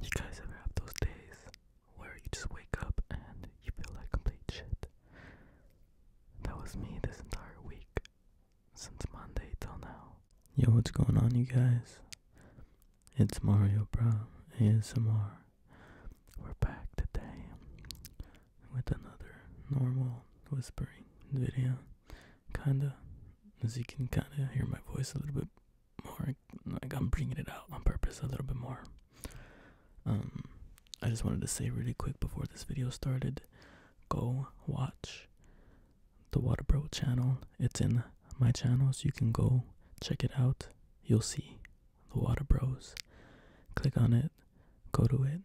You guys ever have those days where you just wake up and you feel like complete shit? That was me this entire week, since Monday till now. Yo, what's going on, you guys? It's Mario Brown ASMR. We're back today with another normal whispering video. Kinda, as you can kinda hear my voice a little bit more, like I'm bringing it out on purpose a little bit more. Um, I just wanted to say really quick before this video started, go watch the Water Bro channel. It's in my channel, so you can go check it out. You'll see the Water Bros. Click on it, go to it,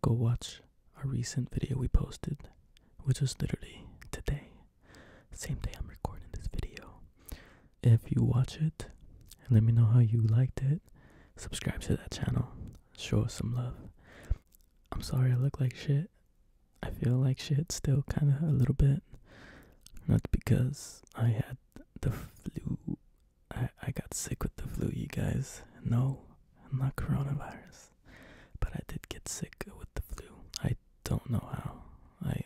go watch our recent video we posted, which was literally today same day I'm recording this video. If you watch it, let me know how you liked it. Subscribe to that channel. Show us some love. I'm sorry I look like shit. I feel like shit still, kind of a little bit. Not because I had the flu. I, I got sick with the flu, you guys. No, I'm not coronavirus but I did get sick with the flu. I don't know how. I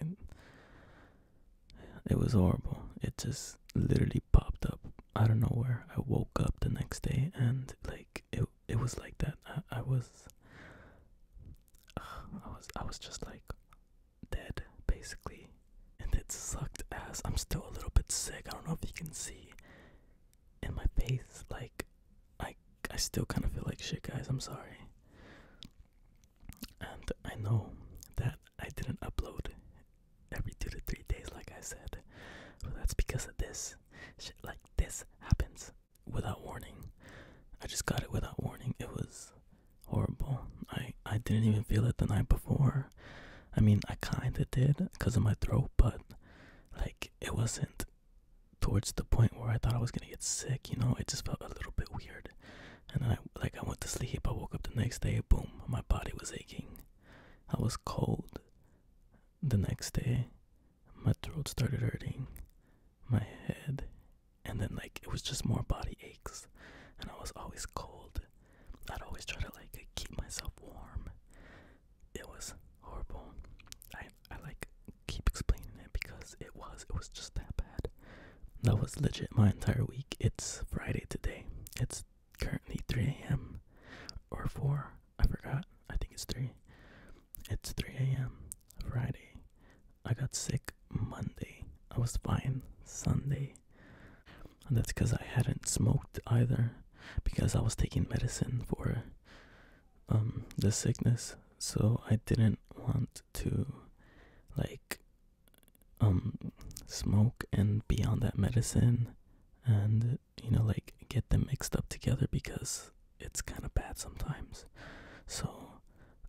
it was horrible. It just literally popped up I don't know where. I woke up the next day and like it it was like that. I, was I was I was just like dead basically and it sucked as I'm still a little bit sick. I don't know if you can see in my face. Like, I, I still kind of feel like shit, guys. I'm sorry. And I know that I didn't upload every two to three days, like I said. that's because of this. Shit like this happens without warning. I just got it without warning. It was horrible. I, I didn't even feel it the night before. I mean, I kinda did because of my throat, but like it wasn't towards the point where I thought I was gonna get sick, you know, it just felt a little bit weird. And then I like I went to sleep, I woke up the next day, boom, my body was aching. I was cold the next day. My throat started hurting, my head, and then like it was just more body aches. And I was always cold. I'd always try to like keep myself warm. It was horrible. I I like keep explaining it because it was it was just that bad. That was legit my entire week. It's Friday today. It's currently 3 a.m. or 4. I forgot. I think it's 3. It's 3 a.m. Friday. I got sick Monday. I was fine Sunday. And that's because I hadn't smoked either because I was taking medicine for um, the sickness so i didn't want to like um, smoke and be on that medicine and you know like get them mixed up together because it's kind of bad sometimes so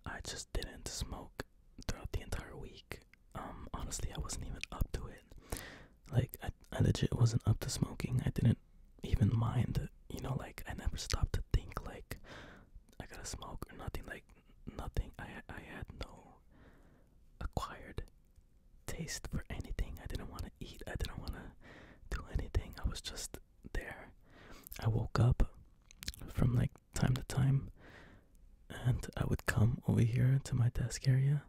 i just didn't smoke throughout the entire week um, honestly i wasn't even up to it like I, I legit wasn't up to smoking. I didn't even mind, you know, like I never stopped to think like I gotta smoke or nothing. Like nothing. I I had no acquired taste for anything. I didn't want to eat. I didn't want to do anything. I was just there. I woke up from like time to time, and I would come over here to my desk area,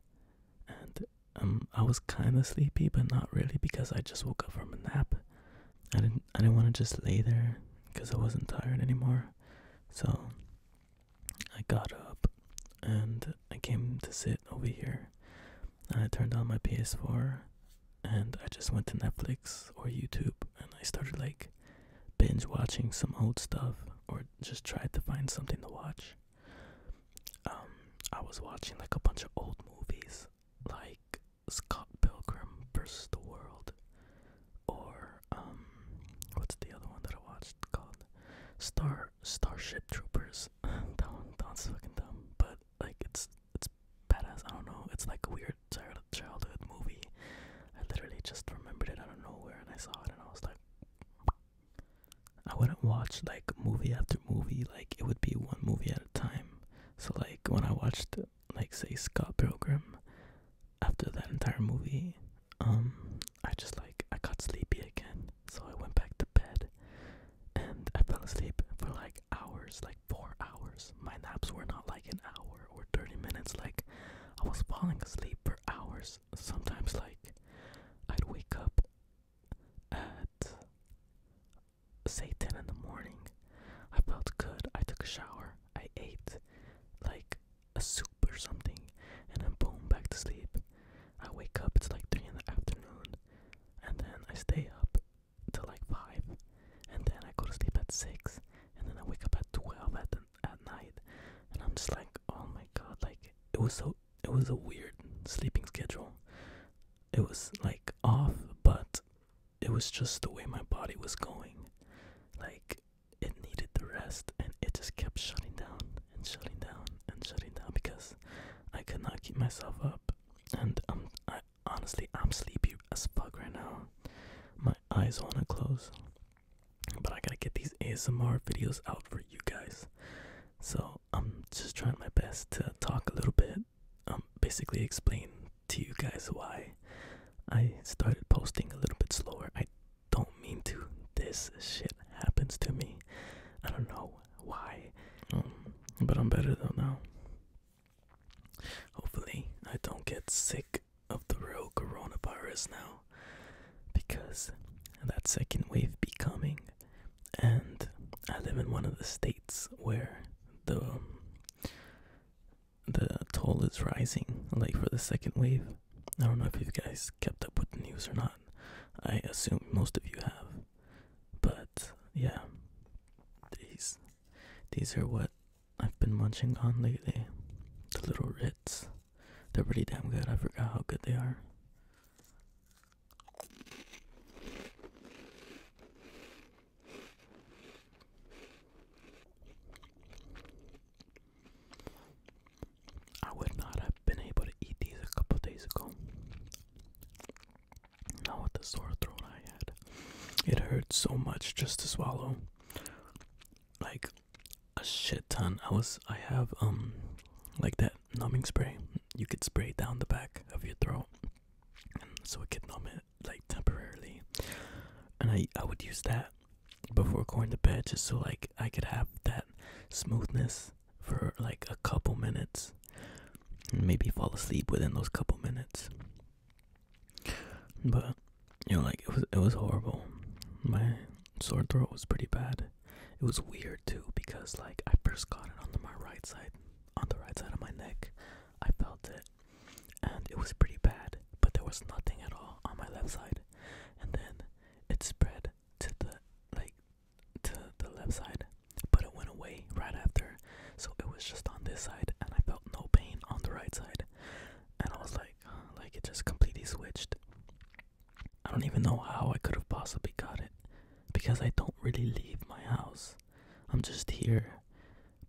and um, I was kind of sleepy, but not really because I just woke up from a nap. I didn't I didn't want to just lay there because I wasn't tired anymore. So I got up and I came to sit over here. And I turned on my PS4 and I just went to Netflix or YouTube and I started like binge watching some old stuff or just tried to find something to watch. Um, I was watching like a bunch of old movies, like Scott Pilgrim versus the World, or um, what's the other one that I watched called Star Starship Troopers? that one, that one's fucking dumb, but like it's it's badass. I don't know. It's like a weird childhood movie. I literally just remembered it out of nowhere, and I saw it, and I was like. I wouldn't watch like movie after movie, like it would be one movie at a time. So like when I watched like say Scott Pilgrim after that entire movie, um I just like I got sleepy again. So I went back to bed and I fell asleep for like hours, like four hours. My naps were not like an hour or 30 minutes, like I was falling asleep for hours sometimes like I'd wake up at say 10 in the morning. I felt good. I took a shower. I ate like a soup or something and then boom back to sleep. I wake up it's like 3 in the afternoon and then I stay up till like 5 and then I go to sleep at 6 and then I wake up at 12 at at night, and I'm just like, oh my god, like it was so it was a weird sleeping schedule. It was like off, but it was just the way my body was going. Like it needed the rest, and it just kept shutting down and shutting down and shutting down because I could not keep myself up. And um, I honestly, I'm sleepy as fuck right now. My eyes wanna close. But I gotta get these ASMR videos out for you guys. So I'm just trying my best to talk a little bit, um, basically explain to you guys why I started posting a little bit slower. I don't mean to. This shit happens to me. I don't know why. Um, but I'm better though now. Hopefully, I don't get sick of the real coronavirus now because that second wave be coming and i live in one of the states where the um, the toll is rising like for the second wave i don't know if you guys kept up with the news or not i assume most of you have but yeah these these are what I've been munching on lately. The little Ritz. They're pretty damn good. I forgot how good they are. I would not have been able to eat these a couple days ago. Not with the sore throat I had. It hurts so much just to swallow like a shit ton. I was I have um like that numbing spray. You could spray down the back of your throat, and so it could numb it like temporarily. And I I would use that before going to bed just so like I could have that smoothness for like a couple minutes, and maybe fall asleep within those couple minutes. But you know, like it was it was horrible. My sore throat was pretty bad. It was weird too because like I first got it on my right side, on the right side of my neck. I felt it, and it was pretty bad. But there was nothing at all on my left side, and then it spread to the like to the left side, but it went away right after. So it was just on this side, and I felt no pain on the right side and I was like, like it just completely switched. I don't even know how I could have possibly got it because I don't really leave my house. I'm just here,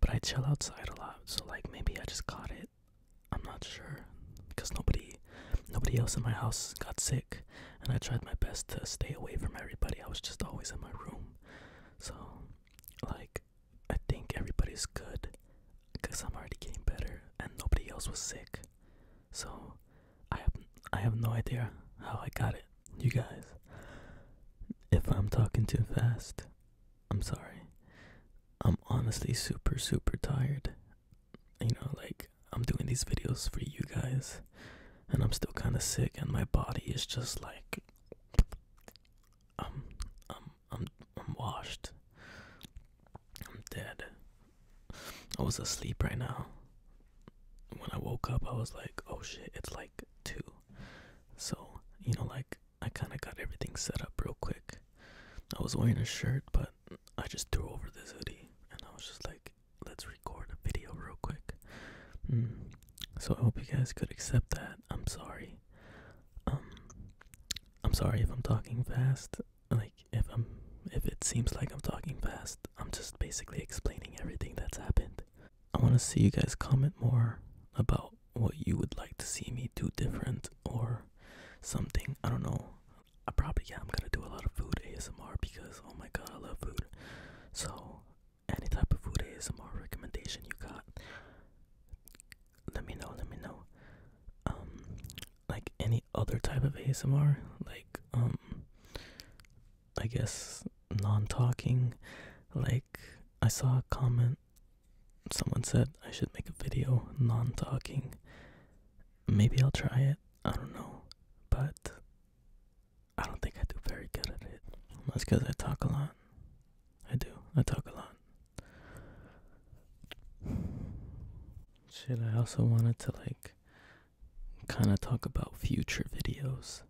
but I chill outside a lot. So like maybe I just got it. I'm not sure because nobody nobody else in my house got sick and I tried my best to stay away from everybody. I was just always in my room. So like I think everybody's good because I'm already getting better and nobody else was sick. So I have I have no idea how I got it. You guys, if I'm talking too fast, I'm sorry. I'm honestly super super tired. You know, like I'm doing these videos for you guys and I'm still kind of sick and my body is just like I'm I'm I'm I'm washed. I'm dead. I was asleep right now. When I woke up I was like, oh shit, it's like two. So, you know, like I kinda got everything set up real quick. I was wearing a shirt but I just threw over this hoodie and I was just like, let's record a video real quick. Mm. So I hope you guys could accept that. I'm sorry. Um, I'm sorry if I'm talking fast. Like if I'm if it seems like I'm talking fast, I'm just basically explaining everything that's happened. I want to see you guys comment more about what you would like to see me do different or something. I don't know. I probably yeah, I'm going to do a lot of food ASMR because oh my god, I love food. So any type of food ASMR recommendation you got, let me know, let me know. Um like any other type of ASMR, like um I guess non talking, like I saw a comment someone said I should make a video non talking. Maybe I'll try it. I don't know. But I don't think I do very good at it. That's because I talk a lot. I do. I talk a lot. Shit, I also wanted to like kind of talk about future videos.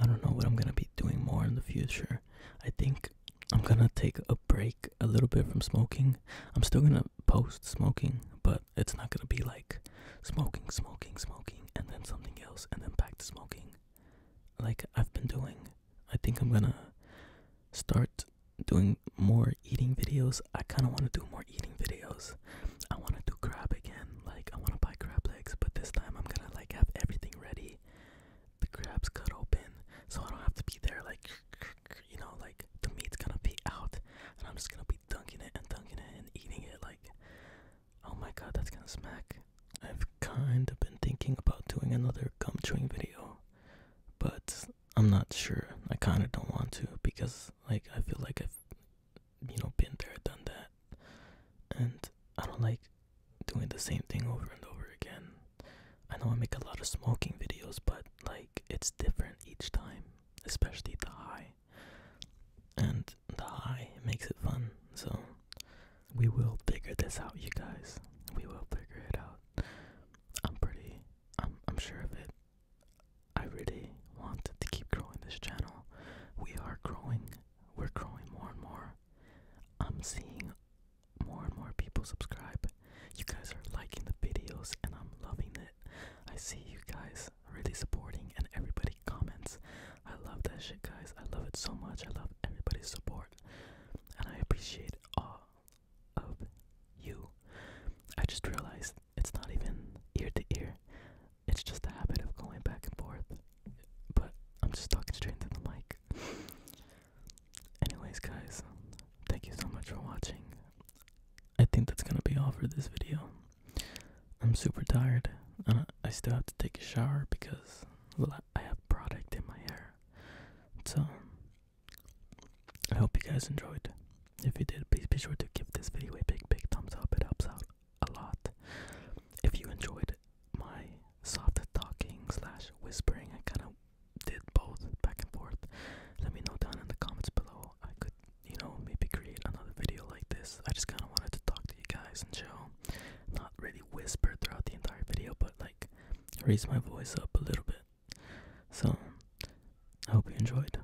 I don't know what I'm going to be doing more in the future. I think I'm going to take a break a little bit from smoking. I'm still going to post smoking, but it's not going to be like smoking, smoking, smoking, and then something else, and then back to smoking. Like I've been doing. I think I'm gonna start doing more eating videos. I kind of want to do more eating videos. I want to do crab again. Like I want to buy crab legs, but this time I'm gonna like have everything ready. The crab's cut open, so I don't have to be there like you know, like the meat's gonna be out, and I'm just gonna be dunking it and dunking it and eating it. Like Oh my god, that's gonna smack. I've kind of been thinking about doing another gum chewing video, but I'm not sure. I kind of don't want to because, like, I feel like I've, you know, been there, done that, and I don't like doing the same thing over and over again. I know I make a lot of smoking videos, but like, it's different each time, especially the high. And the high makes it fun. So we will figure this out, you guys. We will figure it out. I'm pretty I'm I'm sure of it. I really want to keep growing this channel. We are growing. We're growing more and more. I'm seeing more and more people subscribe. You guys are liking the videos and I'm loving it. I see you guys really supporting and everybody comments. I love that shit, guys. I love it so much. I love everybody's support. And I appreciate all of you. I just realized it's not even ear to ear, it's just a habit of going back and forth. But I'm just talking straight into the mic. Anyways, guys, thank you so much for watching. I think that's gonna be all for this video. I'm super tired, and I still have to take a shower because, I have product in my hair. So, I hope you guys enjoyed. If you did, please be sure to give this video a big, big thumbs up. It helps out a lot. If you enjoyed my soft talking slash whispering, I kind of did both back and forth. Let me know down in the comments below. I could you know, maybe create another video like this. I just kind of wanted to talk to you guys and chill, not really whisper throughout the entire video, but like raise my voice up a little bit. So, I hope you enjoyed.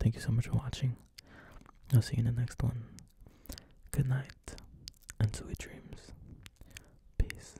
Thank you so much for watching. I'll see you in the next one. Good night and sweet dreams. Peace.